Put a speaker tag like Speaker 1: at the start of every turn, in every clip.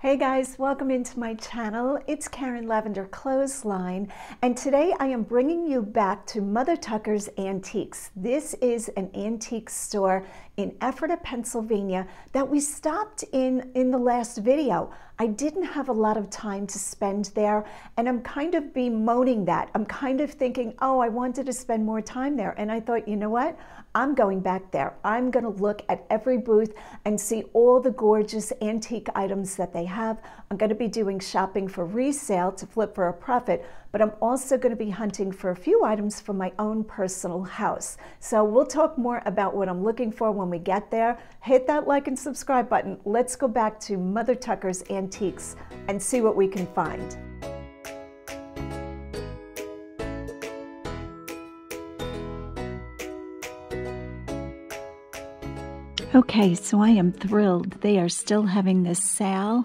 Speaker 1: Hey guys, welcome into my channel. It's Karen Lavender Clothesline, and today I am bringing you back to Mother Tucker's Antiques. This is an antique store in Ephrata, Pennsylvania that we stopped in in the last video. I didn't have a lot of time to spend there, and I'm kind of bemoaning that. I'm kind of thinking, oh, I wanted to spend more time there, and I thought, you know what? I'm going back there. I'm going to look at every booth and see all the gorgeous antique items that they have. I'm going to be doing shopping for resale to flip for a profit, but I'm also going to be hunting for a few items for my own personal house. So we'll talk more about what I'm looking for when we get there. Hit that like and subscribe button. Let's go back to Mother Tucker's Antiques and see what we can find. Okay, so I am thrilled. They are still having this sale.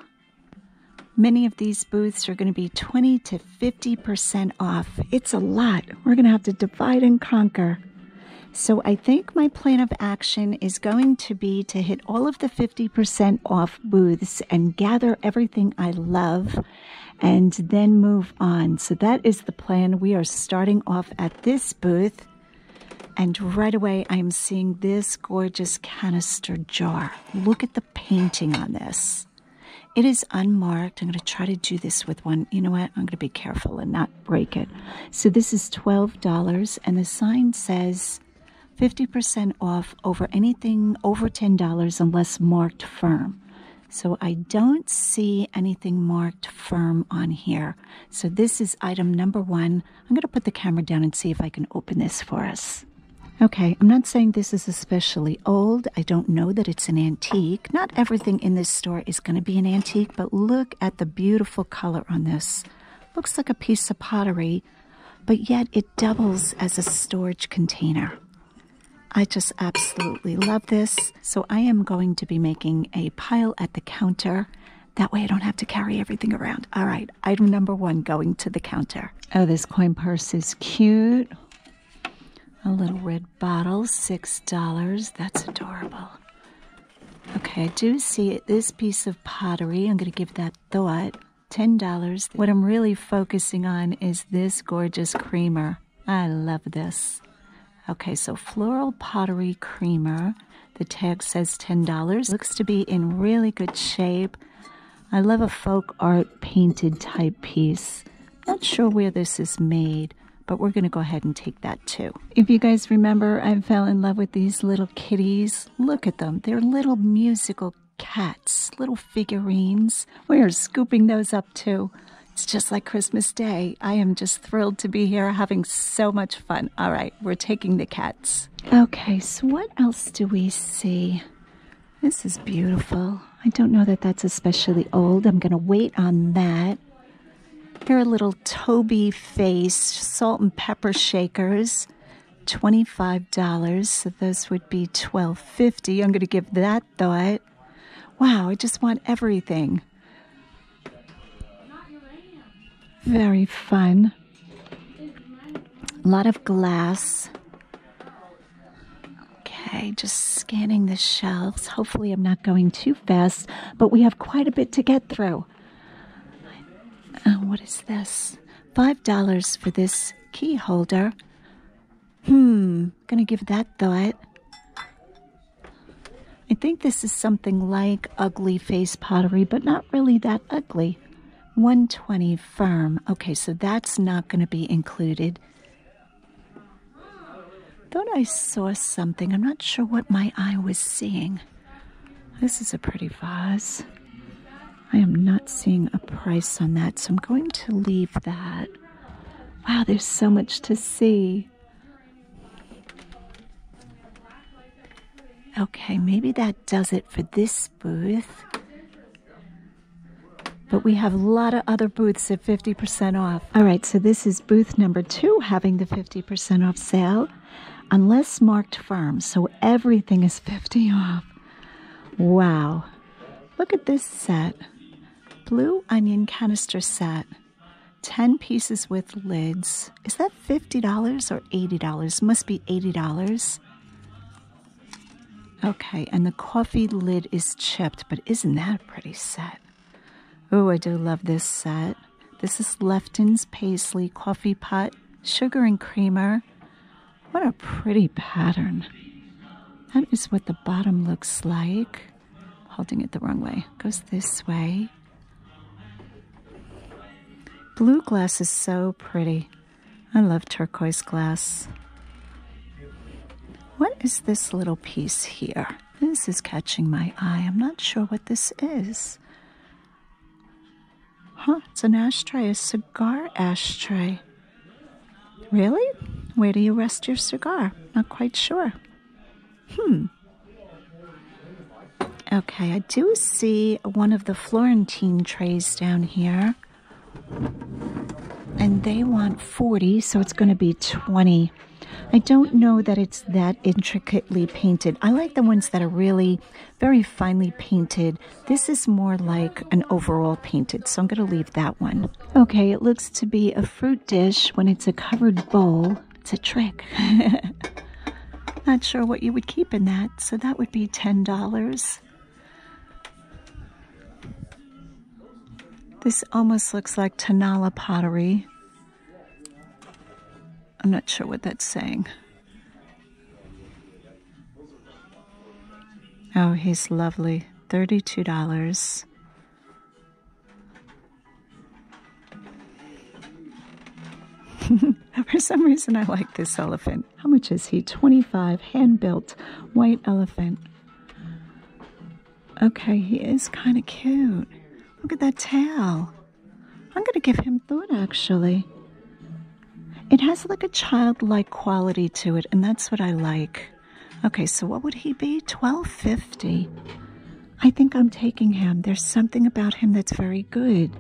Speaker 1: Many of these booths are going to be 20 to 50% off. It's a lot. We're going to have to divide and conquer. So I think my plan of action is going to be to hit all of the 50% off booths and gather everything I love and then move on. So that is the plan. We are starting off at this booth. And right away, I am seeing this gorgeous canister jar. Look at the painting on this. It is unmarked. I'm going to try to do this with one. You know what? I'm going to be careful and not break it. So this is $12, and the sign says 50% off over anything over $10 unless marked firm. So I don't see anything marked firm on here. So this is item number one. I'm going to put the camera down and see if I can open this for us. Okay, I'm not saying this is especially old. I don't know that it's an antique. Not everything in this store is going to be an antique, but look at the beautiful color on this. Looks like a piece of pottery, but yet it doubles as a storage container. I just absolutely love this. So I am going to be making a pile at the counter. That way I don't have to carry everything around. All right, item number one going to the counter. Oh, this coin purse is cute. A little red bottle, $6. That's adorable. Okay, I do see this piece of pottery. I'm going to give that thought. $10. What I'm really focusing on is this gorgeous creamer. I love this. Okay, so floral pottery creamer. The tag says $10. Looks to be in really good shape. I love a folk art painted type piece. Not sure where this is made, but we're going to go ahead and take that too. If you guys remember, I fell in love with these little kitties. Look at them. They're little musical cats, little figurines. We are scooping those up too. It's just like Christmas Day. I am just thrilled to be here having so much fun. All right, we're taking the cats. Okay, so what else do we see? This is beautiful. I don't know that that's especially old. I'm going to wait on that. Here are little Toby face salt and pepper shakers. $25. So those would be 1250 dollars I'm going to give that that thought, wow, I just want everything. Very fun. A lot of glass. Okay, just scanning the shelves. Hopefully, I'm not going too fast, but we have quite a bit to get through. Uh, what is this? $5 for this key holder. Hmm, gonna give that thought. I think this is something like ugly face pottery, but not really that ugly. 120 firm. Okay, so that's not going to be included. Thought I saw something. I'm not sure what my eye was seeing. This is a pretty vase. I am not seeing a price on that, so I'm going to leave that. Wow, there's so much to see. Okay, maybe that does it for this booth. But we have a lot of other booths at 50% off. All right, so this is booth number two having the 50% off sale, unless marked firm. So everything is 50 off. Wow. Look at this set. Blue onion canister set, 10 pieces with lids. Is that $50 or $80? Must be $80. Okay, and the coffee lid is chipped, but isn't that a pretty set? Oh, I do love this set. This is Lefton's Paisley Coffee Pot, Sugar and Creamer. What a pretty pattern. That is what the bottom looks like. Holding it the wrong way. Goes this way. Blue glass is so pretty. I love turquoise glass. What is this little piece here? This is catching my eye. I'm not sure what this is. Huh, it's an ashtray, a cigar ashtray. Really? Where do you rest your cigar? Not quite sure. Hmm. Okay, I do see one of the Florentine trays down here. And they want 40, so it's going to be 20. I don't know that it's that intricately painted. I like the ones that are really very finely painted. This is more like an overall painted, so I'm going to leave that one. Okay, it looks to be a fruit dish when it's a covered bowl. It's a trick. Not sure what you would keep in that, so that would be $10. This almost looks like Tanala pottery. I'm not sure what that's saying. Oh, he's lovely. $32. For some reason, I like this elephant. How much is he? 25, hand built, white elephant. Okay, he is kind of cute. Look at that tail. I'm going to give him thought actually. It has like a childlike quality to it, and that's what I like. Okay, so what would he be? 1250. I think I'm taking him. There's something about him that's very good.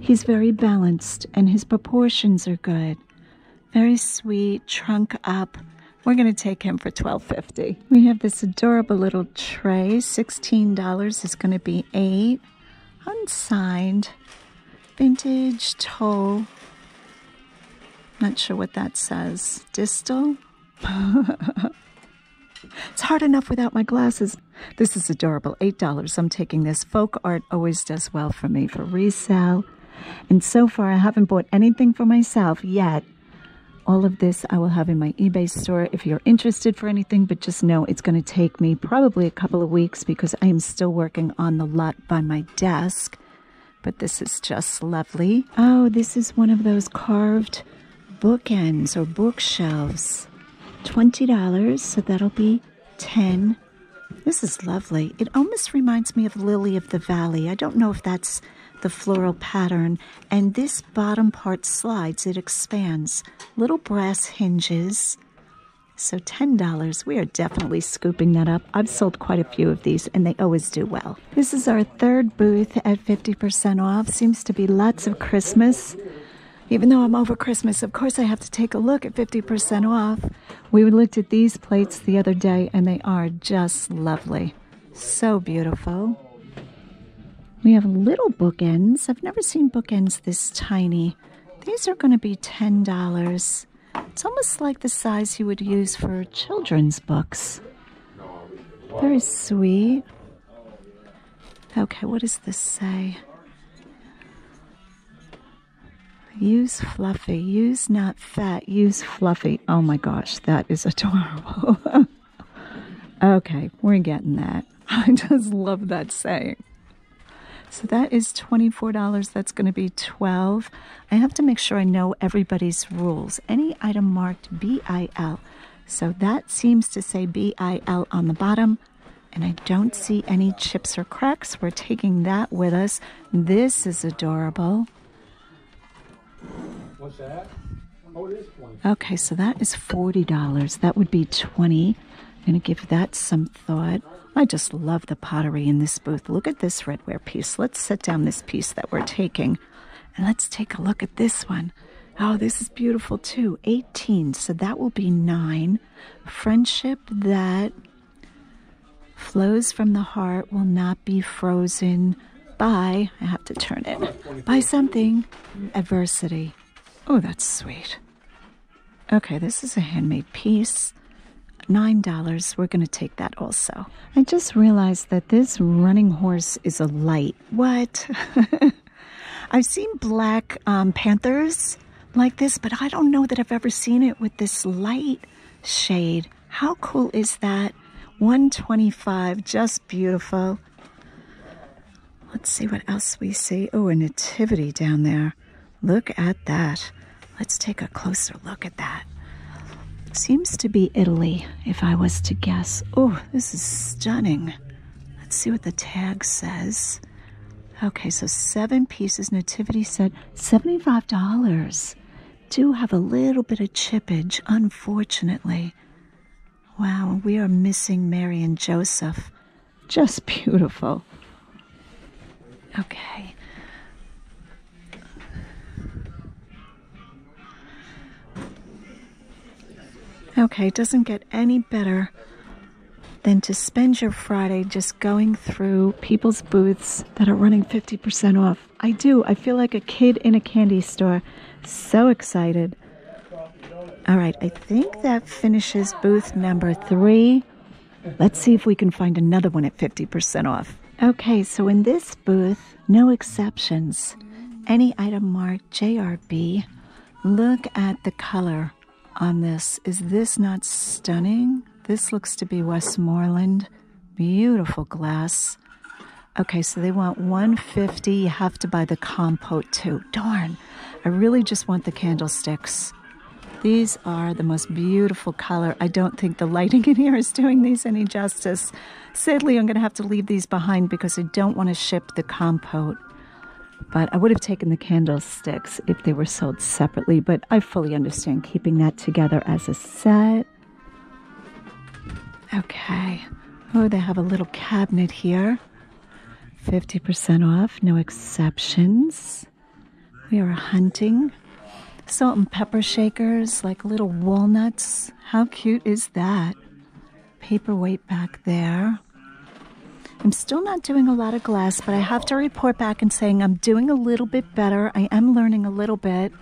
Speaker 1: He's very balanced and his proportions are good. Very sweet, trunk up. We're going to take him for twelve fifty. We have this adorable little tray. $16 is going to be 8 Unsigned. Vintage toll. Not sure what that says. Distal? it's hard enough without my glasses. This is adorable. $8. I'm taking this. Folk art always does well for me for resale. And so far, I haven't bought anything for myself yet. All of this I will have in my eBay store if you're interested for anything, but just know it's going to take me probably a couple of weeks because I am still working on the lot by my desk but this is just lovely. Oh, this is one of those carved bookends or bookshelves. $20, so that'll be 10. This is lovely. It almost reminds me of Lily of the Valley. I don't know if that's the floral pattern. And this bottom part slides, it expands. Little brass hinges. So $10. We are definitely scooping that up. I've sold quite a few of these, and they always do well. This is our third booth at 50% off. Seems to be lots of Christmas. Even though I'm over Christmas, of course I have to take a look at 50% off. We looked at these plates the other day and they are just lovely. So beautiful. We have little bookends. I've never seen bookends this tiny. These are going to be $10. It's almost like the size you would use for children's books. Very sweet. Okay, what does this say? Use fluffy. Use not fat. Use fluffy. Oh my gosh, that is adorable. okay, we're getting that. I just love that saying. So that is $24. That's going to be 12 I have to make sure I know everybody's rules. Any item marked BIL. So that seems to say BIL on the bottom. And I don't see any chips or cracks. We're taking that with us. This is adorable. What's that? Oh, it is 20. Okay, so that is $40. That would be 20 I'm going to give that some thought. I just love the pottery in this booth. Look at this redware piece. Let's set down this piece that we're taking. And let's take a look at this one. Oh, this is beautiful too. 18, so that will be 9. Friendship that flows from the heart will not be frozen by, I have to turn it, by something, adversity. Oh, that's sweet. Okay, this is a handmade piece. $9. We're going to take that also. I just realized that this running horse is a light. What? I've seen black um, panthers like this, but I don't know that I've ever seen it with this light shade. How cool is that? 125, just beautiful. Let's see what else we see. Oh, a nativity down there. Look at that. Let's take a closer look at that. Seems to be Italy, if I was to guess. Oh, this is stunning. Let's see what the tag says. Okay, so seven pieces. Nativity set, $75. Do have a little bit of chippage, unfortunately. Wow, we are missing Mary and Joseph. Just beautiful. Okay. Okay, it doesn't get any better than to spend your Friday just going through people's booths that are running 50% off. I do. I feel like a kid in a candy store. So excited. All right, I think that finishes booth number three. Let's see if we can find another one at 50% off. Okay, so in this booth, no exceptions. Any item marked JRB, look at the color on this. Is this not stunning? This looks to be Westmoreland. Beautiful glass. Okay, so they want 150. You have to buy the compote too. Darn. I really just want the candlesticks. These are the most beautiful color. I don't think the lighting in here is doing these any justice. Sadly, I'm going to have to leave these behind because I don't want to ship the compote. But I would have taken the candlesticks if they were sold separately, but I fully understand keeping that together as a set. Okay. Oh, they have a little cabinet here. 50% off, no exceptions. We are hunting. Salt and pepper shakers, like little walnuts how cute is that? Paperweight back there. I'm still not doing a lot of glass, but I have to report back and saying I'm doing a little bit better. I am learning a little bit.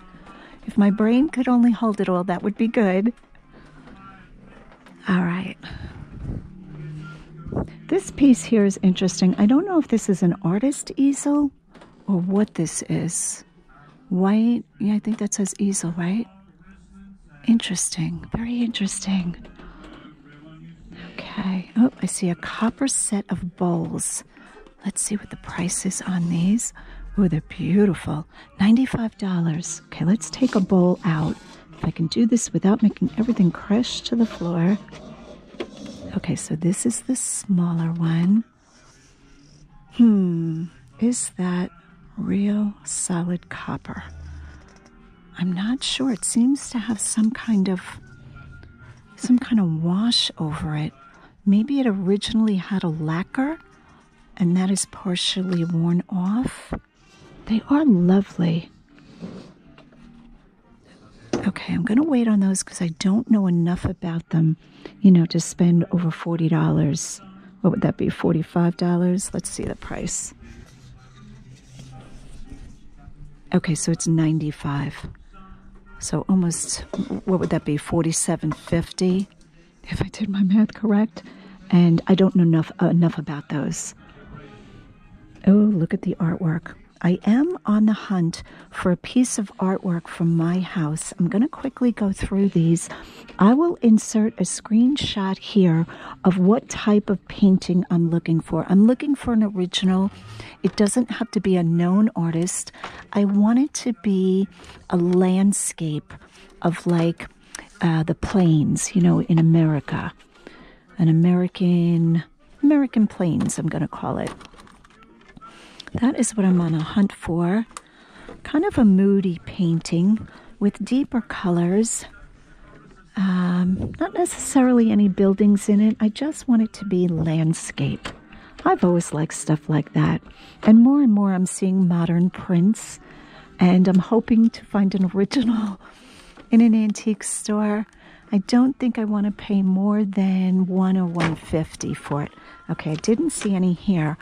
Speaker 1: If my brain could only hold it all, that would be good. All right. This piece here is interesting. I don't know if this is an artist easel or what this is. White, yeah, I think that says easel, right? Interesting, very interesting. Okay, oh, I see a copper set of bowls. Let's see what the price is on these. Oh, they're beautiful. $95. Okay, let's take a bowl out. If I can do this without making everything crash to the floor. Okay, so this is the smaller one. Hmm, is that real solid copper? I'm not sure. It seems to have some kind of some kind of wash over it. Maybe it originally had a lacquer and that is partially worn off. They are lovely. Okay, I'm going to wait on those because I don't know enough about them you know, to spend over $40. What would that be? $45? Let's see the price. Okay, so it's 95 So almost, what would that be? 47.50 if I did my math correct. And I don't know enough, enough about those. Oh, look at the artwork. I am on the hunt for a piece of artwork from my house. I'm going to quickly go through these. I will insert a screenshot here of what type of painting I'm looking for. I'm looking for an original. It doesn't have to be a known artist. I want it to be a landscape of like uh, the plains, you know, in America. An American, American plains, I'm going to call it. That is what I'm on a hunt for. Kind of a moody painting with deeper colors. Um, not necessarily any buildings in it. I just want it to be landscape. I've always liked stuff like that. And more and more I'm seeing modern prints. And I'm hoping to find an original in an antique store. I don't think I want to pay more than one or 150 for it. Okay, I didn't see any here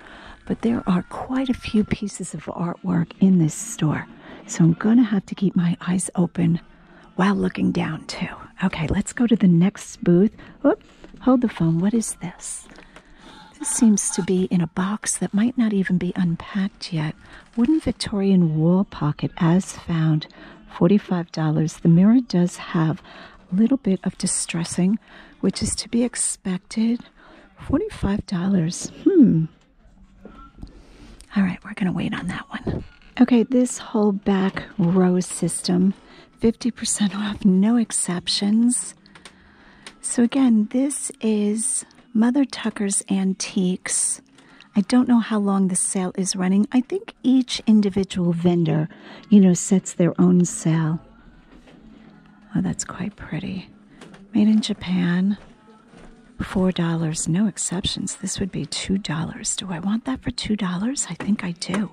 Speaker 1: but there are quite a few pieces of artwork in this store. So I'm going to have to keep my eyes open while looking down too. Okay, let's go to the next booth. Oop, hold the phone. What is this? This seems to be in a box that might not even be unpacked yet. Wooden Victorian wall pocket as found, $45. The mirror does have a little bit of distressing, which is to be expected expected $45. Hmm. All right, we're going to wait on that one. Okay, this whole back row system, 50% off, no exceptions. So, again, this is Mother Tucker's Antiques. I don't know how long the sale is running. I think each individual vendor, you know, sets their own sale. Oh, that's quite pretty. Made in Japan. $4, no exceptions. This would be $2. Do I want that for $2? I think I do.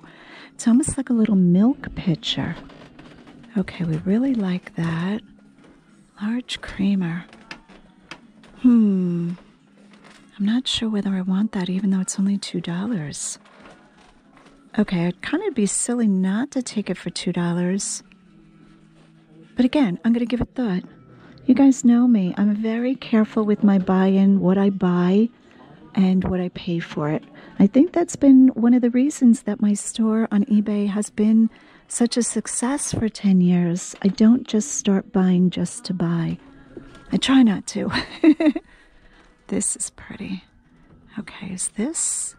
Speaker 1: It's almost like a little milk pitcher. Okay, we really like that. Large creamer. Hmm. I'm not sure whether I want that, even though it's only $2. Okay, I'd kind of be silly not to take it for $2. But again, I'm going to give it thought. You guys know me. I'm very careful with my buy in, what I buy, and what I pay for it. I think that's been one of the reasons that my store on eBay has been such a success for 10 years. I don't just start buying just to buy. I try not to. This is pretty. Okay, is this?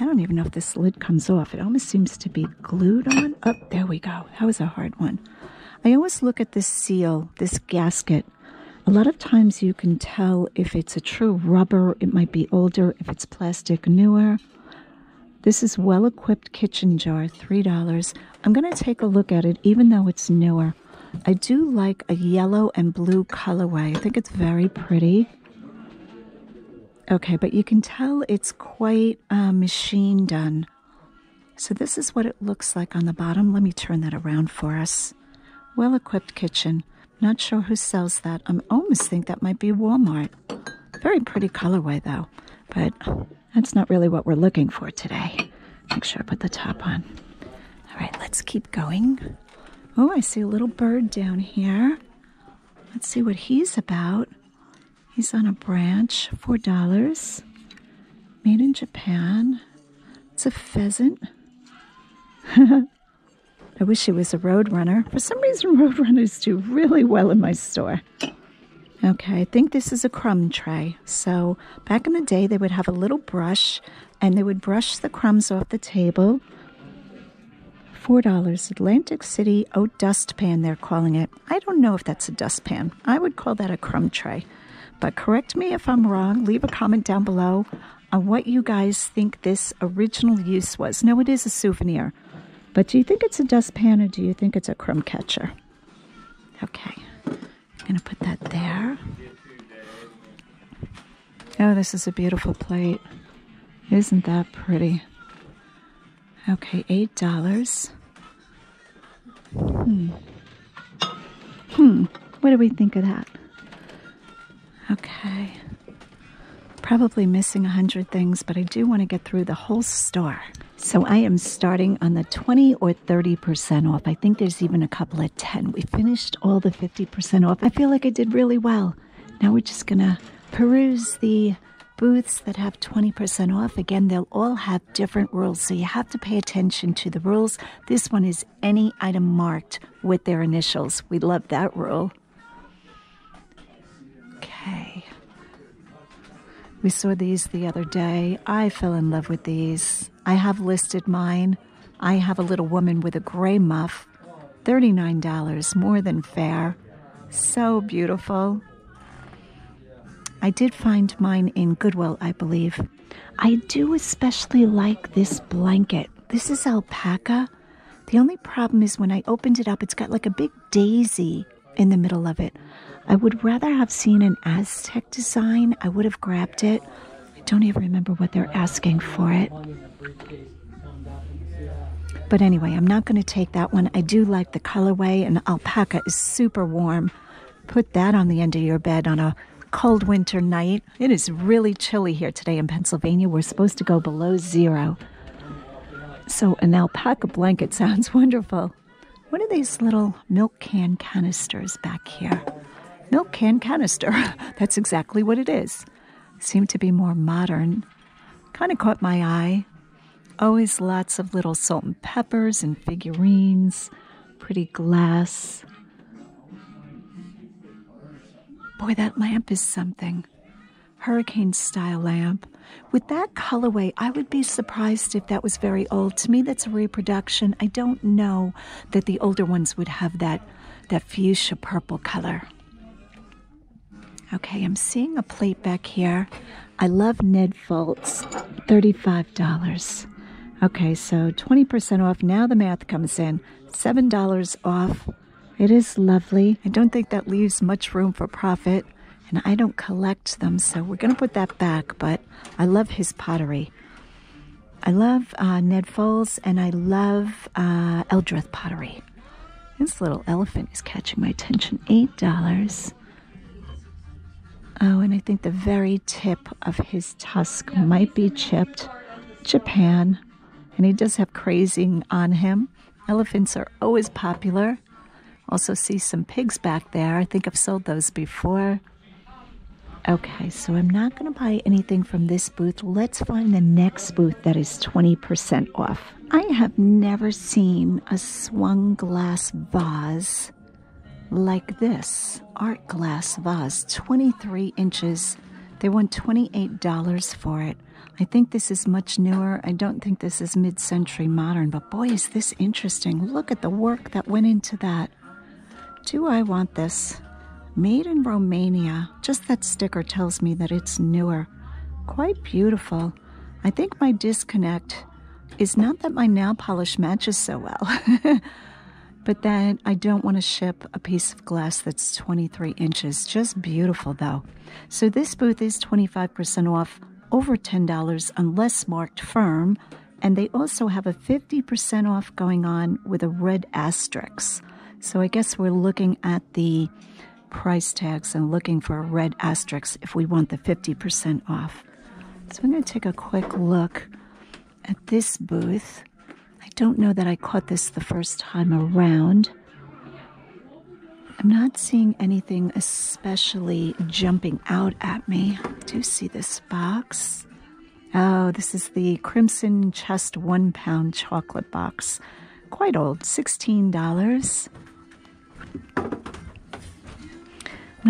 Speaker 1: I don't even know if this lid comes off. It almost seems to be glued on. Up oh, there we go. That was a hard one. I always look at this seal, this gasket. A lot of times you can tell if it's a true rubber, it might be older, if it's plastic, newer. This is well equipped kitchen jar, $3. I'm going to take a look at it even though it's newer. I do like a yellow and blue colorway. I think it's very pretty. Okay, but you can tell it's quite uh, machine done. So this is what it looks like on the bottom. Let me turn that around for us. Well-equipped kitchen. Not sure who sells that. I almost think that might be Walmart. Very pretty colorway though, but that's not really what we're looking for today. Make sure I put the top on. All right, let's keep going. Oh, I see a little bird down here. Let's see what he's about. He's on a branch, $4. Made in Japan. It's a pheasant. I wish he was a Road Runner. For some reason, Road Runners do really well in my store. Okay, I think this is a crumb tray. So back in the day, they would have a little brush and they would brush the crumbs off the table $4 Atlantic City oat oh, dustpan, they're calling it. I don't know if that's a dustpan. I would call that a crumb tray. But correct me if I'm wrong. Leave a comment down below on what you guys think this original use was. No, it is a souvenir. But do you think it's a dustpan or do you think it's a crumb catcher? Okay. I'm going to put that there. Oh, this is a beautiful plate. Isn't that pretty? Okay, eight dollars. Hmm. Hmm. What do we think of that? Okay. Probably missing a hundred things, but I do want to get through the whole store. So I am starting on the 20 or 30% off. I think there's even a couple at 10. We finished all the 50% off. I feel like I did really well. Now we're just going to peruse the booths that have 20% off. Again, they'll all have different rules, so you have to pay attention to the rules. This one is any item marked with their initials. We love that rule. Okay. We saw these the other day. I fell in love with these. I have listed mine. I have a little woman with a gray muff $39 more than fair. So beautiful. I did find mine in Goodwill, I believe. I do especially like this blanket. This is alpaca. The only problem is when I opened it up, it's got like a big daisy in the middle of it. I would rather have seen an Aztec design. I would have grabbed it. I don't even remember what they're asking for it. But anyway, I'm not going to take that one. I do like the colorway, and alpaca is super warm. Put that on the end of your bed on a cold winter night. It is really chilly here today in Pennsylvania. We're supposed to go below zero. So, an alpaca blanket sounds wonderful. What are these little milk can canisters back here? Milk can canister. That's exactly what it is seemed to be more modern. Kind of caught my eye. Always lots of little salt and peppers and figurines, pretty glass. Boy, that lamp is something. Hurricane style lamp. With that colorway, I would be surprised if that was very old. To me, that's a reproduction. I don't know that the older ones would have that, fuchsia purple color. Okay, I'm seeing a plate back here. I love Ned Foltz, $35. Okay, so 20% off. Now the math comes in. $7 off. It is lovely. I don't think that leaves much room for profit, and I don't collect them, so we're going to put that back, but I love his pottery. I love uh, Ned Foles and I love uh, pottery. This little elephant is catching my attention. $8. Oh, and I think the very tip of his tusk might be chipped. Japan. And he does have crazing on him. Elephants are always popular. Also, see some pigs back there. I think I've sold those before. Okay, so I'm not not going to buy anything from this booth, let's find the next booth that is 20% off. I have never seen a swung glass vase like this art glass vase, 23 inches. They want $28 for it. I think this is much newer. I don't think this is mid century modern, but boy, is this interesting. Look at the work that went into that. Do I want this? Made in Romania just that sticker tells me that it's newer. Quite beautiful. I think my disconnect is not that my nail polish matches so well, but that I don't want to ship a piece of glass that's 23 inches. Just beautiful though. So this booth is 25% off, over $10 unless marked firm, and they also have a 50% off going on with a red asterisk. So I guess we're looking at the price tags and looking for a red asterisk if we want the 50% off. So I'm going to take a quick look at this booth. I don't know that I caught this the first time around. I'm not seeing anything especially jumping out at me. I do see this box. Oh, this is the Crimson Chest one pound chocolate box. Quite old, $16. I'm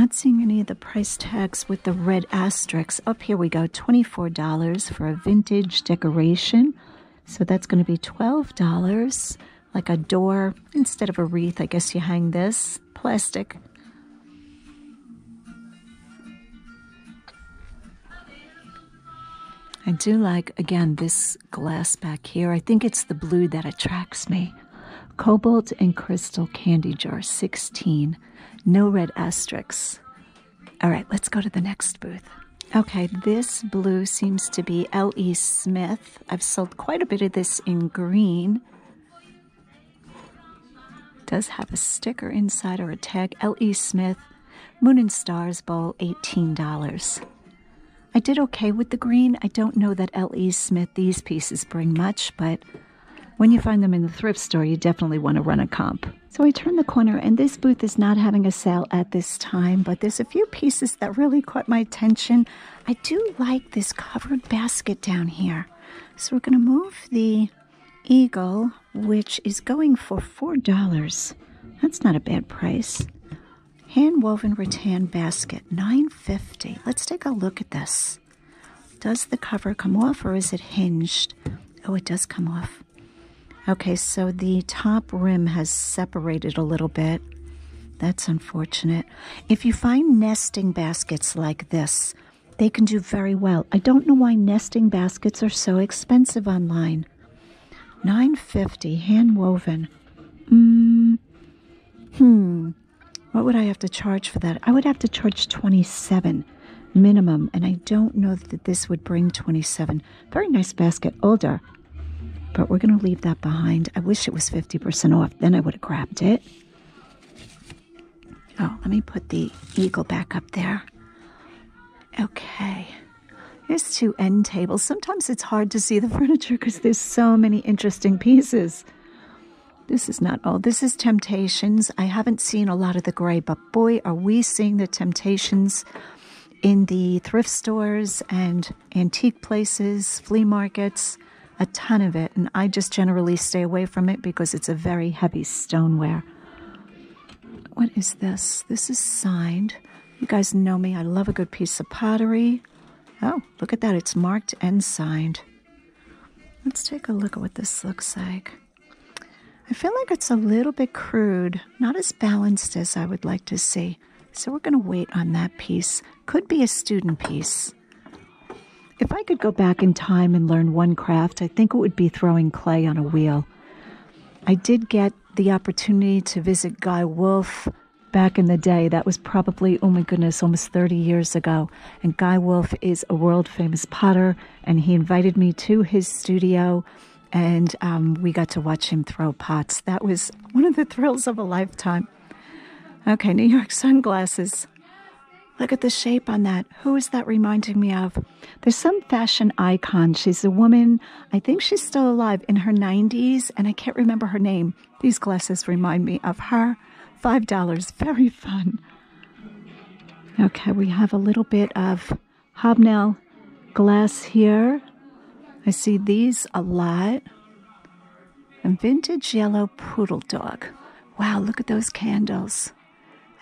Speaker 1: not seeing any of the price tags with the red asterisks. Up here we go, $24 for a vintage decoration. So that's going to be $12, like a door. Instead of a wreath, I guess you hang this plastic. I do like, again, this glass back here. I think it's the blue that attracts me. Cobalt and Crystal Candy Jar 16. No red asterisks. All right, let's go to the next booth. Okay, this blue seems to be L.E. Smith. I've sold quite a bit of this in green. Does have a sticker inside or a tag. L.E. Smith. Moon and Stars Bowl, $18. I did okay with the green. I don't know that L.E. Smith, these pieces bring much, but when you find them in the thrift store, you definitely want to run a comp. So I turned the corner, and this booth is not having a sale at this time, but there's a few pieces that really caught my attention. I do like this covered basket down here. So we're going to move the eagle which is going for $4. That's not a bad price. Hand woven rattan basket, nine Let's take a look at this. Does the cover come off or is it hinged? Oh, it does come off. Okay, so the top rim has separated a little bit. That's unfortunate. If you find nesting baskets like this, they can do very well. I don't know why nesting baskets are so expensive online. 950 hand woven. Mm, hmm. What would I have to charge for that? I would have to charge 27 minimum, and I don't know that this would bring 27. Very nice basket, older, but we're going to leave that behind. I wish it was 50% off, then I would have grabbed it. Oh, let me put the eagle back up there. Okay. There's two end tables. Sometimes it's hard to see the furniture because there's so many interesting pieces. This is not all. This is Temptations. I haven't seen a lot of the gray, but boy, are we seeing the Temptations in the thrift stores and antique places, flea markets, a ton of it. And I just generally stay away from it because it's a very heavy stoneware. What is this? This is signed. You guys know me. I love a good piece of pottery. Oh, look at that. It's marked and signed. Let's take a look at what this looks like. I feel like it's a little bit crude, not as balanced as I would like to see. So we're going to wait on that piece. Could be a student piece. If I could go back in time and learn one craft, I think it would be throwing clay on a wheel. I did get the opportunity to visit Guy Wolf back in the day. That was probably, oh my goodness, almost 30 years ago. And Guy Wolf is a world famous potter, and he invited me to his studio, and um, we got to watch him throw pots. That was one of the thrills of a lifetime. Okay, New York sunglasses. Look at the shape on that. Who is that reminding me of? There's some fashion icon. She's a woman, I think she's still alive, in her 90s, and I can't remember her name. These glasses remind me of her. $5, very fun. Okay, we have a little bit of hobnail glass here. I see these a lot. And vintage yellow poodle dog. Wow, look at those candles.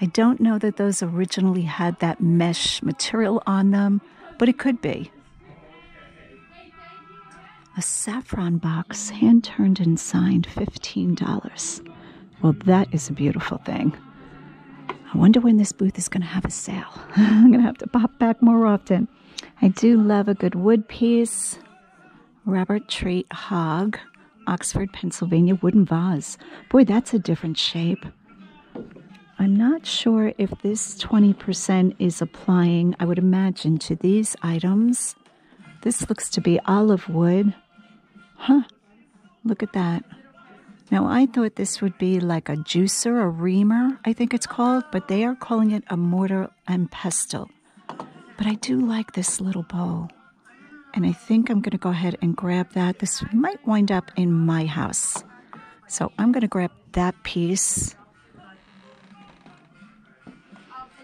Speaker 1: I don't know that those originally had that mesh material on them, but it could be. A saffron box, hand turned and signed, $15. Well, that is a beautiful thing. I wonder when this booth is going to have a sale. I'm going to have to pop back more often. I do love a good wood piece. Robert Treat Hog, Oxford, Pennsylvania, wooden vase. Boy, that's a different shape. I'm not sure if this 20% is applying, I would imagine, to these items. This looks to be olive wood. Huh, look at that. Now, I thought this would be like a juicer, a reamer, I think it's called, but they are calling it a mortar and pestle. But I do like this little bowl. And I think I'm going to go ahead and grab that. This might wind up in my house. So I'm going to grab that piece.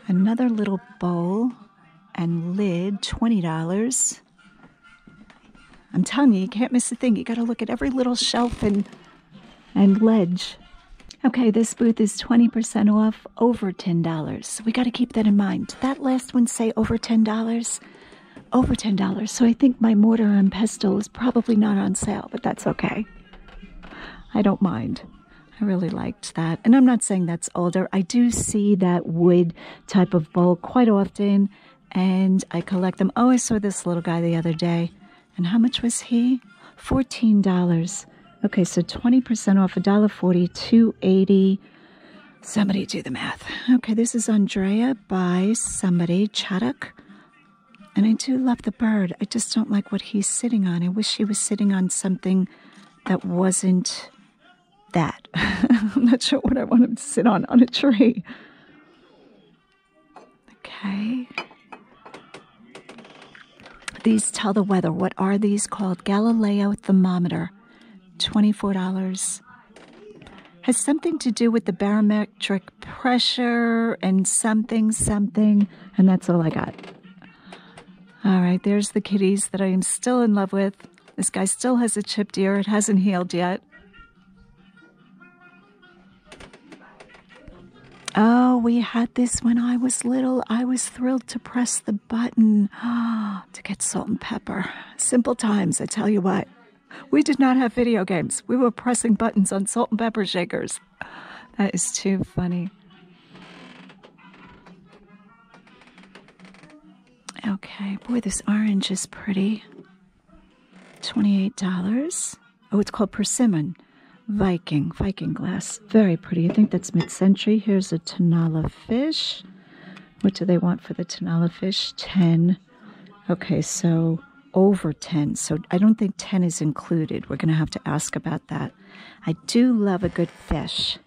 Speaker 1: Another little bowl and lid, $20. I'm telling you, you can't miss a thing. You got to look at every little shelf and, and ledge. Okay, this booth is 20% off over $10. We got to keep that in mind. that last one say over $10? over $10. So I think my mortar and pestle is probably not on sale, but that's okay. I don't mind. I really liked that. And I'm not saying that's older. I do see that wood type of bowl quite often and I collect them. Oh, I saw this little guy the other day. And how much was he? $14. Okay, so 20% off a $1.40, 280 Somebody do the math. Okay, this is Andrea by somebody, Chaddock. And I do love the bird. I just don't like what he's sitting on. I wish he was sitting on something that wasn't that. I'm not sure what I want him to sit on, on a tree. Okay. These tell the weather. What are these called? Galileo thermometer. $24 has something to do with the barometric pressure and something, something, and that's all I got. All right, there's the kitties that I am still in love with. This guy still has a chipped ear, it hasn't healed yet. Oh, we had this when I was little. I was thrilled to press the button oh, to get salt and pepper. Simple times, I tell you what. We did not have video games. We were pressing buttons on salt and pepper shakers. That is too funny. Okay, boy, this orange is pretty. $28. Oh, it's called persimmon. Viking, Viking glass. Very pretty. I think that's mid century. Here's a Tanala fish. What do they want for the Tanala fish? 10 Okay, so over 10. So I don't think 10 is included. We're going to have to ask about that. I do love a good fish.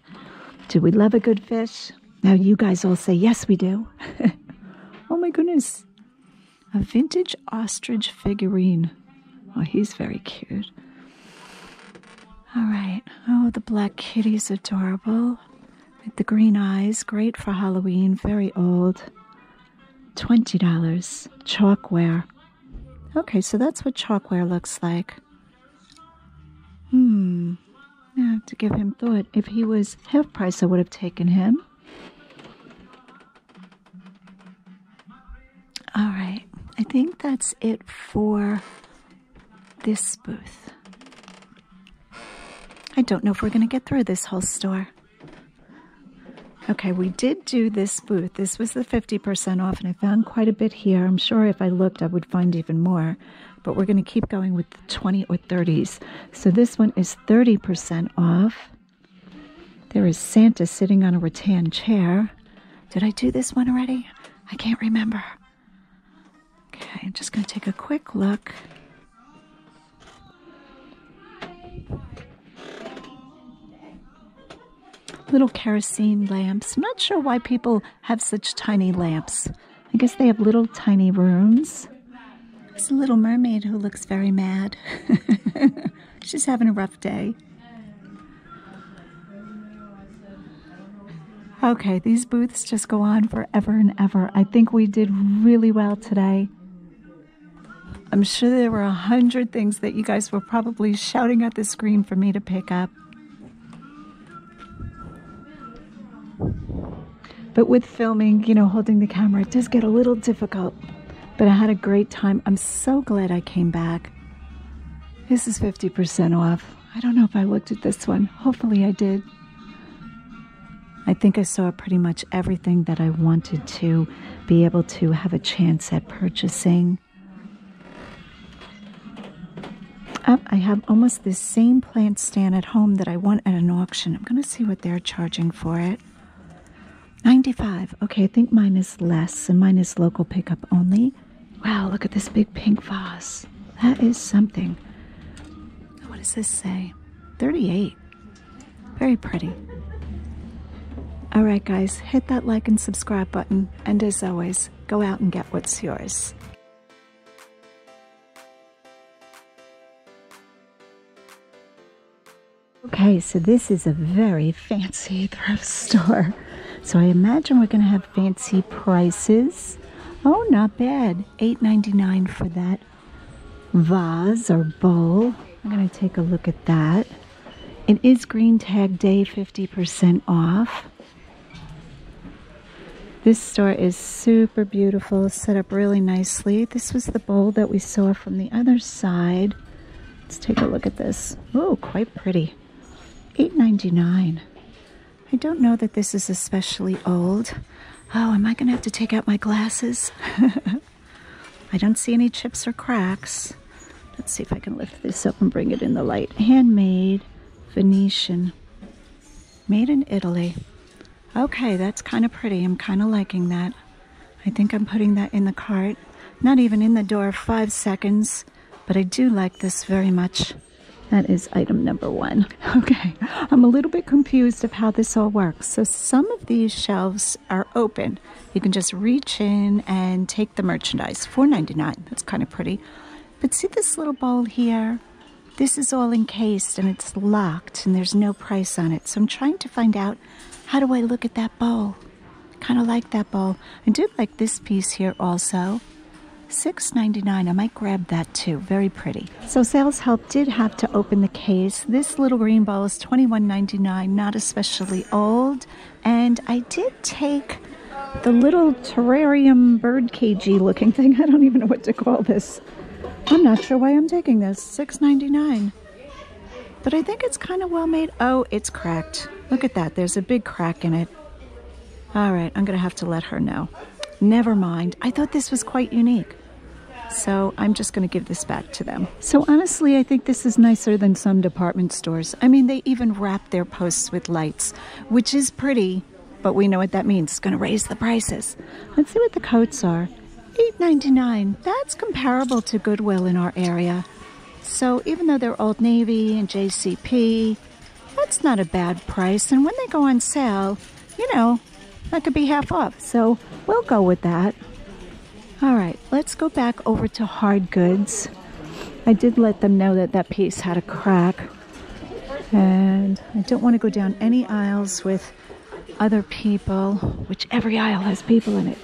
Speaker 1: Do we love a good fish? Now you guys all say, yes, we do. oh my goodness. A vintage ostrich figurine. Oh, he's very cute. All right. Oh, the black kitty's adorable with the green eyes, great for Halloween, very old. $20. Chalkware. Okay, so that's what chalkware looks like. Hmm. I have to give him thought. If he was half price, I would have taken him. All right. I think that's it for this booth. I don't know if we're going to get through this whole store. Okay, we did do this booth. This was the 50% off, and I found quite a bit here. I'm sure if I looked, I would find even more. But we're going to keep going with the 20 or 30s. So this one is 30% off. There is Santa sitting on a rattan chair. Did I do this one already? I can't remember. Okay, I'm just going to take a quick look. Little kerosene lamps. not sure why people have such tiny lamps. I guess they have little tiny rooms. It's a little mermaid who looks very mad. She's having a rough day. Okay, these booths just go on forever and ever. I think we did really well today. I'm sure there were a hundred things that you guys were probably shouting at the screen for me to pick up. But with filming, you know, holding the camera, it does get a little difficult. But I had a great time. I'm so glad I came back. This is 50% off. I don't know if I looked at this one. Hopefully I did. I think I saw pretty much everything that I wanted to be able to have a chance at purchasing. I have almost this same plant stand at home that I want at an auction. I'm going to see what they're charging for it. 95. Okay, I think mine is less, and mine is local pickup only. Wow, look at this big pink vase. That is something. What does this say? 38. Very pretty. Alright, guys, hit that like and subscribe button, and as always, go out and get what's yours. Okay, so this is a very fancy thrift store. So I imagine we're going to have fancy prices. Oh, not bad. Eight ninety nine for that vase or bowl. I'm going to take a look at that. It is Green Tag Day 50% off. This store is super beautiful, set up really nicely. This was the bowl that we saw from the other side. Let's take a look at this. Oh, quite pretty. $8.99. I don't know that this is especially old. Oh, am I going to have to take out my glasses? I don't see any chips or cracks. Let's see if I can lift this up and bring it in the light. Handmade Venetian. Made in Italy. Okay, that's kind of pretty. I'm kind of liking that. I think I'm putting that in the cart. Not even in the door five seconds, but I do like this very much. That is item number one. Okay. I'm a little bit confused of how this all works. So some of these shelves are open. You can just reach in and take the merchandise. $4.99. That's kind of pretty. But see this little bowl here? This is all encased and it's locked and there's no price on it. So I'm trying to find out how do I look at that bowl? Kind of like that bowl. I do like this piece here also. $6.99. I might grab that too. Very pretty. So sales help did have to open the case. This little green ball is 21.99. not especially old. And I did take the little terrarium bird cagey looking thing. I don't even know what to call this. I'm not sure why I'm taking this. 6.99. But I think it's kind of well made. Oh, it's cracked. Look at that. There's a big crack in it. All right, I'm going to have to let her know. Never mind. I thought this was quite unique. So I'm just going to give this back to them. So honestly, I think this is nicer than some department stores. I mean, they even wrap their posts with lights, which is pretty, but we know what that means. It's going to raise the prices. Let's see what the coats are. $8.99. That's comparable to Goodwill in our area. So even though they're Old Navy and JCP, that's not a bad price. And when they go on sale, you know, that could be half off. So we'll go with that. All right, let's go back over to hard goods. I did let them know that that piece had a crack. And I don't want to go down any aisles with other people, which every aisle has people in it.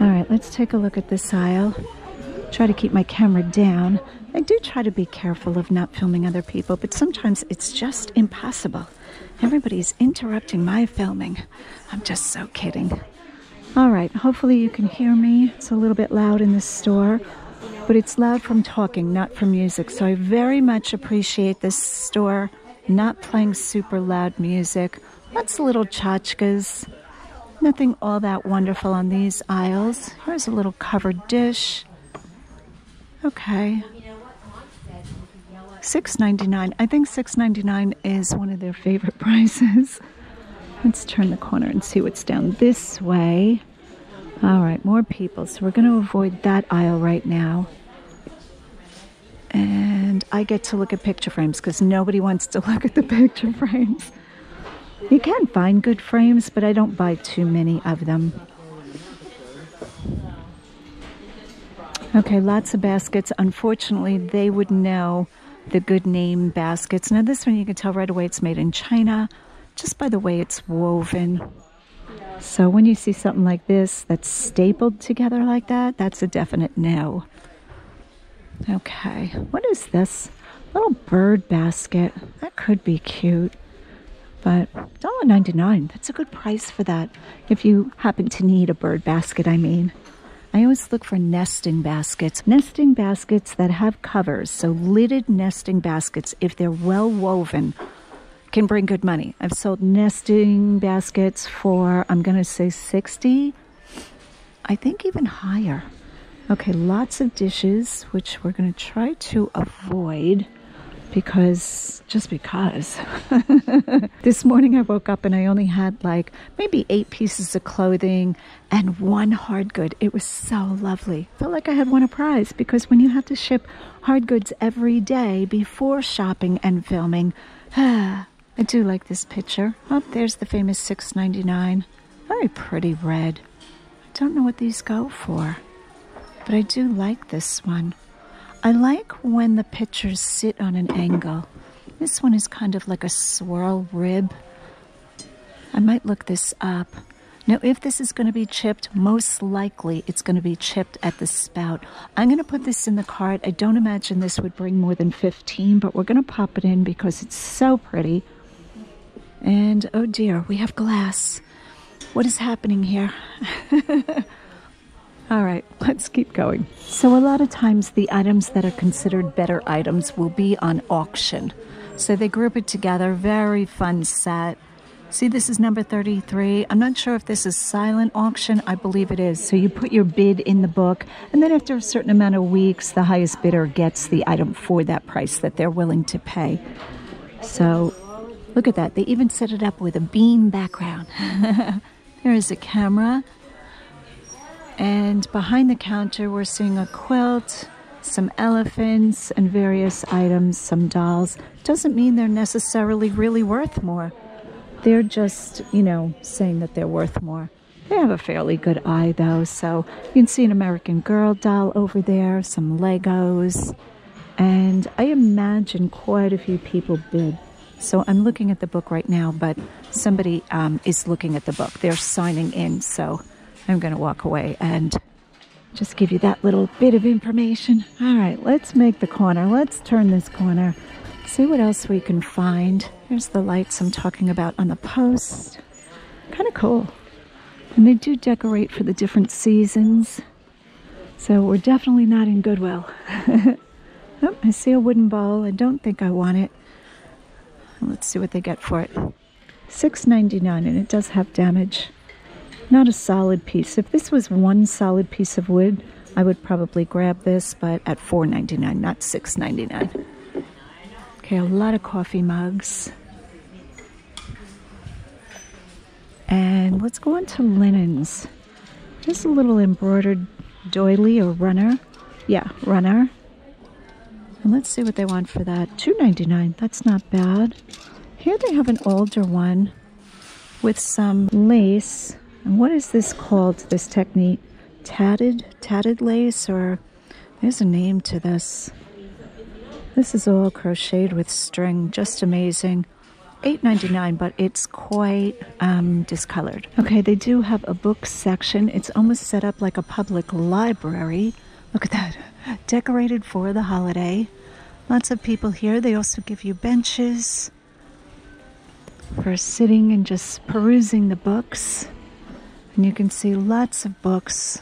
Speaker 1: All right, let's take a look at this aisle. Try to keep my camera down. I do try to be careful of not filming other people, but sometimes it's just impossible. Everybody's interrupting my filming. I'm just so kidding. All right, hopefully you can hear me. It's a little bit loud in this store, but it's loud from talking, not from music. So I very much appreciate this store not playing super loud music. Lots of little chachkas? Nothing all that wonderful on these aisles. Here's a little covered dish. Okay. Six ninety nine. I think six ninety nine is one of their favorite prices. Let's turn the corner and see what's down this way. All right, more people. So we're going to avoid that aisle right now. And I get to look at picture frames because nobody wants to look at the picture frames. You can find good frames, but I don't buy too many of them. Okay, lots of baskets. Unfortunately, they would know the good name baskets. Now, this one you can tell right away it's made in China just by the way it's woven. So, when you see something like this that's stapled together like that, that's a definite no. Okay, what is this? Little bird basket. That could be cute. But $1.99, that's a good price for that if you happen to need a bird basket, I mean. I always look for nesting baskets. Nesting baskets that have covers, so lidded nesting baskets, if they're well woven, can bring good money. I've sold nesting baskets for, I'm going to say 60, I think even higher. Okay, lots of dishes, which we're going to try to avoid because just because this morning I woke up and I only had like maybe eight pieces of clothing and one hard good it was so lovely felt like I had won a prize because when you have to ship hard goods every day before shopping and filming I do like this picture oh there's the famous 6.99 very pretty red I don't know what these go for but I do like this one I like when the pitchers sit on an angle. This one is kind of like a swirl rib. I might look this up. Now, if this is going to be chipped, most likely it's going to be chipped at the spout. I'm going to put this in the cart. I don't imagine this would bring more than 15, but we're going to pop it in because it's so pretty. And oh dear, we have glass. What is happening here? All right, let's keep going. So, a lot of times the items that are considered better items will be on auction. So, they group it together. Very fun set. See, this is number 33. I'm not sure if this is silent auction. I believe it is. So, you put your bid in the book, and then after a certain amount of weeks, the highest bidder gets the item for that price that they're willing to pay. So look at that. They even set it up with a beam background. there is a camera. And behind the counter, we're seeing a quilt, some elephants, and various items, some dolls. Doesn't mean they're necessarily really worth more. They're just, you know, saying that they're worth more. They have a fairly good eye, though. So you can see an American Girl doll over there, some Legos. And I imagine quite a few people bid. So I'm looking at the book right now, but somebody um, is looking at the book. They're signing in. So I'm going to walk away and just give you that little bit of information. All right, let's make the corner. Let's turn this corner. See what else we can find. Here's the lights I'm talking about on the post. Kind of cool. And they do decorate for the different seasons. So we're definitely not in Goodwill. Oh, I see a wooden bowl. I don't think I want it. Let's see what they get for it. $6.99 and it does have damage. Not a solid piece. If this was one solid piece of wood, I would probably grab this, but at $4.99, not $6.99. Okay, a lot of coffee mugs. And let's go on to linens. Just a little embroidered doily or runner. Yeah, runner. And let's see what they want for that. Two ninety-nine. That's not bad. Here they have an older one with some lace. And what is this called, this technique? Tatted? Tatted lace or... There's a name to this. This is all crocheted with string. Just amazing. Eight ninety nine, but it's quite um, discolored. Okay, they do have a book section. It's almost set up like a public library. Look at that, decorated for the holiday. Lots of people here. They also give you benches for sitting and just perusing the books. And you can see lots of books.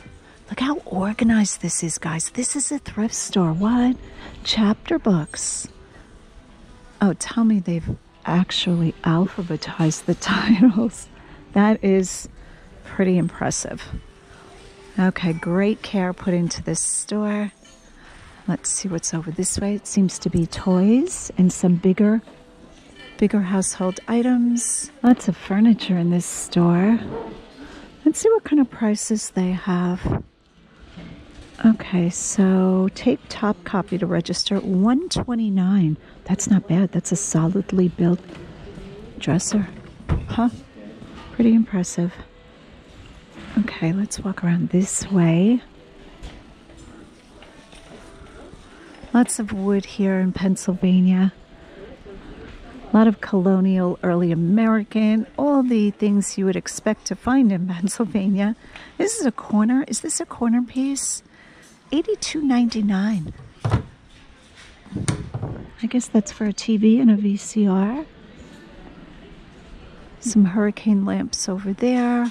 Speaker 1: Look how organized this is, guys. This is a thrift store. What? chapter books. Oh, tell me they've actually alphabetized the titles. That is pretty impressive. Okay, great care put into this store. Let's see what's over this way. It seems to be toys and some bigger bigger household items. Lots of furniture in this store. Let's see what kind of prices they have. Okay, so tape top copy to register 129. That's not bad. That's a solidly built dresser. Huh? Pretty impressive. Okay, let's walk around this way. Lots of wood here in Pennsylvania. A lot of colonial early American all the things you would expect to find in Pennsylvania. This is a corner. Is this a corner piece? Eighty-two ninety-nine. I guess that's for a TV and a VCR. Some hurricane lamps over there.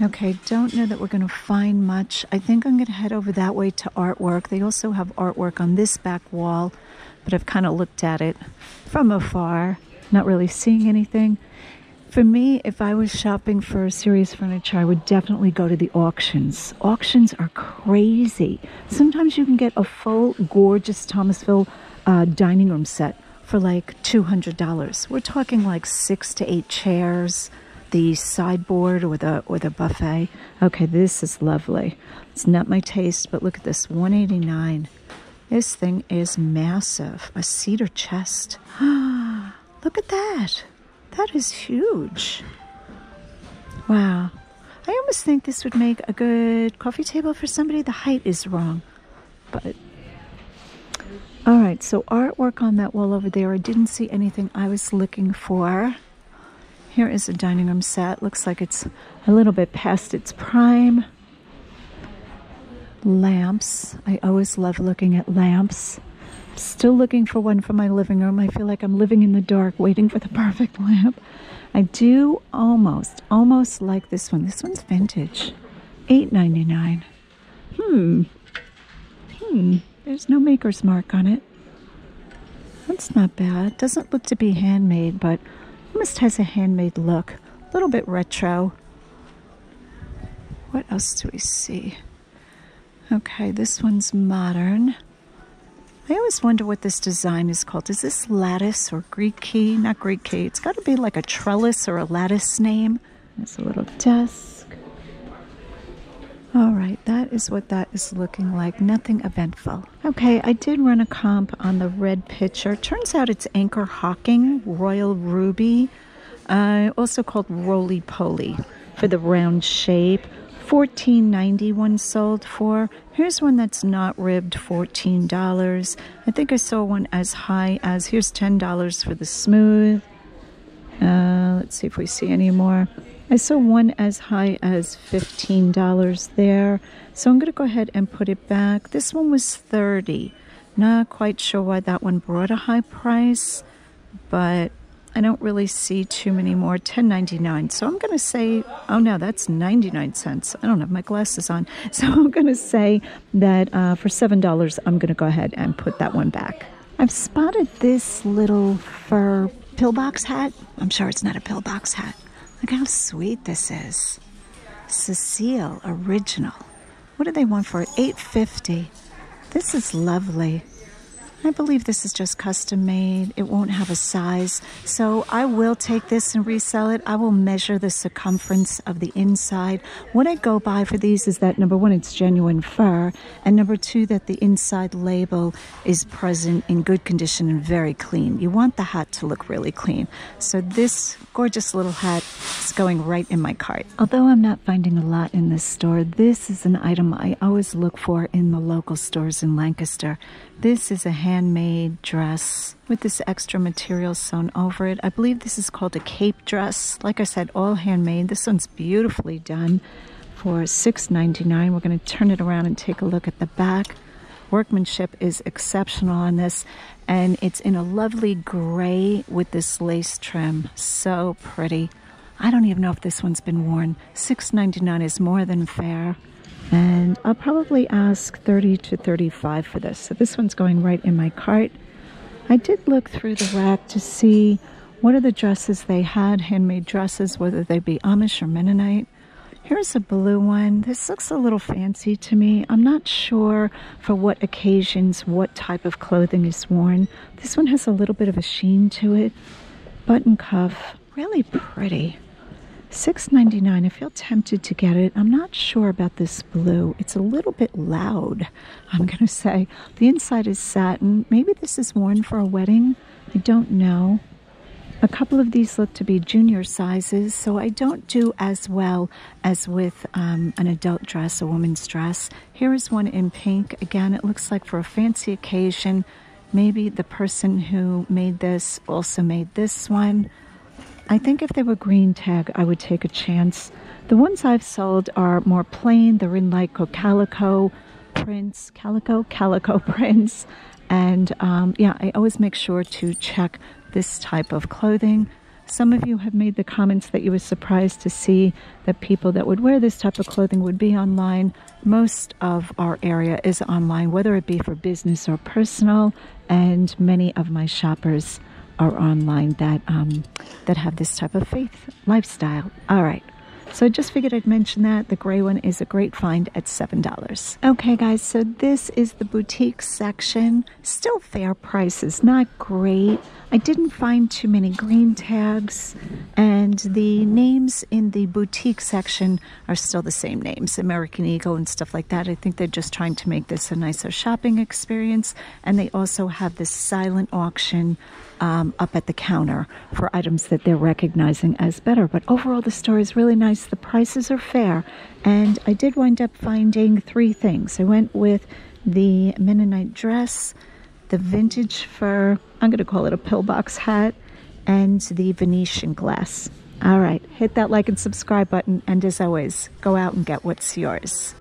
Speaker 1: Okay, don't know that we're going to find much. I think I'm going to head over that way to artwork. They also have artwork on this back wall but I've kind of looked at it from afar, not really seeing anything. For me, if I was shopping for serious furniture, I would definitely go to the auctions. Auctions are crazy. Sometimes you can get a full, gorgeous Thomasville uh, dining room set for like $200. We're talking like six to eight chairs, the sideboard or a or a buffet. Okay, this is lovely. It's not my taste, but look at this, 189. This thing is massive. A cedar chest. Look at that. That is huge. Wow. I almost think this would make a good coffee table for somebody. The height is wrong. But all right, so artwork on that wall over there. I didn't see anything I was looking for. Here is a dining room set. Looks like it's a little bit past its prime lamps. I always love looking at lamps. still looking for one for my living room. I feel like I'm living in the dark waiting for the perfect lamp. I do almost, almost like this one. This one's vintage. eight ninety nine. Hmm. Hmm. There's no maker's mark on it. That's not bad. Doesn't look to be handmade, but Almost has a handmade look, a little bit retro. What else do we see? Okay, this one's modern. I always wonder what this design is called. Is this lattice or Greek key? Not Greek key. It's got to be like a trellis or a lattice name. There's a little desk. All right, that is what that is looking like. Nothing eventful. Okay, I did run a comp on the red pitcher. Turns out it's Anchor Hawking Royal Ruby, uh, also called Roly Poly, for the round shape. $14.91 sold for. Here's one that's not ribbed, $14. I think I saw one as high as here's $10 for the smooth. Uh, let's see if we see any more. I saw one as high as $15 there. So I'm going to go ahead and put it back. This one was 30. Not quite sure why that one brought a high price, but I don't really see too many more. 10.99. So I'm going to say, oh no, that's 99 cents. I don't have my glasses on. So I'm going to say that uh, for $7, I'm going to go ahead and put that one back. I've spotted this little fur pillbox hat. I'm sure it's not a pillbox hat. Look how sweet this is. Cecile original. What do they want for 850. This is lovely. I believe this is just custom made. It won't have a size. So I will take this and resell it. I will measure the circumference of the inside. What I go by for these is that number one, it's genuine fur. And number two, that the inside label is present in good condition and very clean. You want the hat to look really clean. So this gorgeous little hat is going right in my cart. Although I'm not finding a lot in this store, this is an item I always look for in the local stores in Lancaster. This is a handmade dress with this extra material sewn over it. I believe this is called a cape dress. Like I said, all handmade. This one's beautifully done for $6.99. We're going to turn it around and take a look at the back. Workmanship is exceptional on this, and it's in a lovely gray with this lace trim. So pretty. I don't even know if this one's been worn. Six ninety nine is more than fair. And I'll probably ask 30 to 35 for this. So this one's going right in my cart. I did look through the rack to see what are the dresses they had, handmade dresses, whether they be Amish or Mennonite. Here's a blue one. This looks a little fancy to me. I'm not sure for what occasions what type of clothing is worn. This one has a little bit of a sheen to it. Button cuff. Really pretty. Six ninety nine. dollars 99 I feel tempted to get it. I'm not sure about this blue. It's a little bit loud, I'm going to say. The inside is satin. Maybe this is worn for a wedding. I don't know. A couple of these look to be junior sizes, so I don't do as well as with um, an adult dress, a woman's dress. Here is one in pink. Again, it looks like for a fancy occasion. Maybe the person who made this also made this one. I think if they were green tag, I would take a chance. The ones I've sold are more plain. They're in like calico prints, calico, calico prints. And um, yeah, I always make sure to check this type of clothing. Some of you have made the comments that you were surprised to see that people that would wear this type of clothing would be online. Most of our area is online, whether it be for business or personal, and many of my shoppers are online that um, that have this type of faith lifestyle. All right. So I just figured I'd mention that. The gray one is a great find at $7. Okay, guys, so this is the boutique section. Still fair prices, not great. I didn't find too many green tags, and the names in the boutique section are still the same names American Eagle and stuff like that. I think they're just trying to make this a nicer shopping experience, and they also have this silent auction um, up at the counter for items that they're recognizing as better. But overall, the store is really nice. The prices are fair, and I did wind up finding three things. I went with the Mennonite dress, the vintage fur, I'm going to call it a pillbox hat, and the Venetian glass. All right, hit that like and subscribe button, and as always, go out and get what's yours.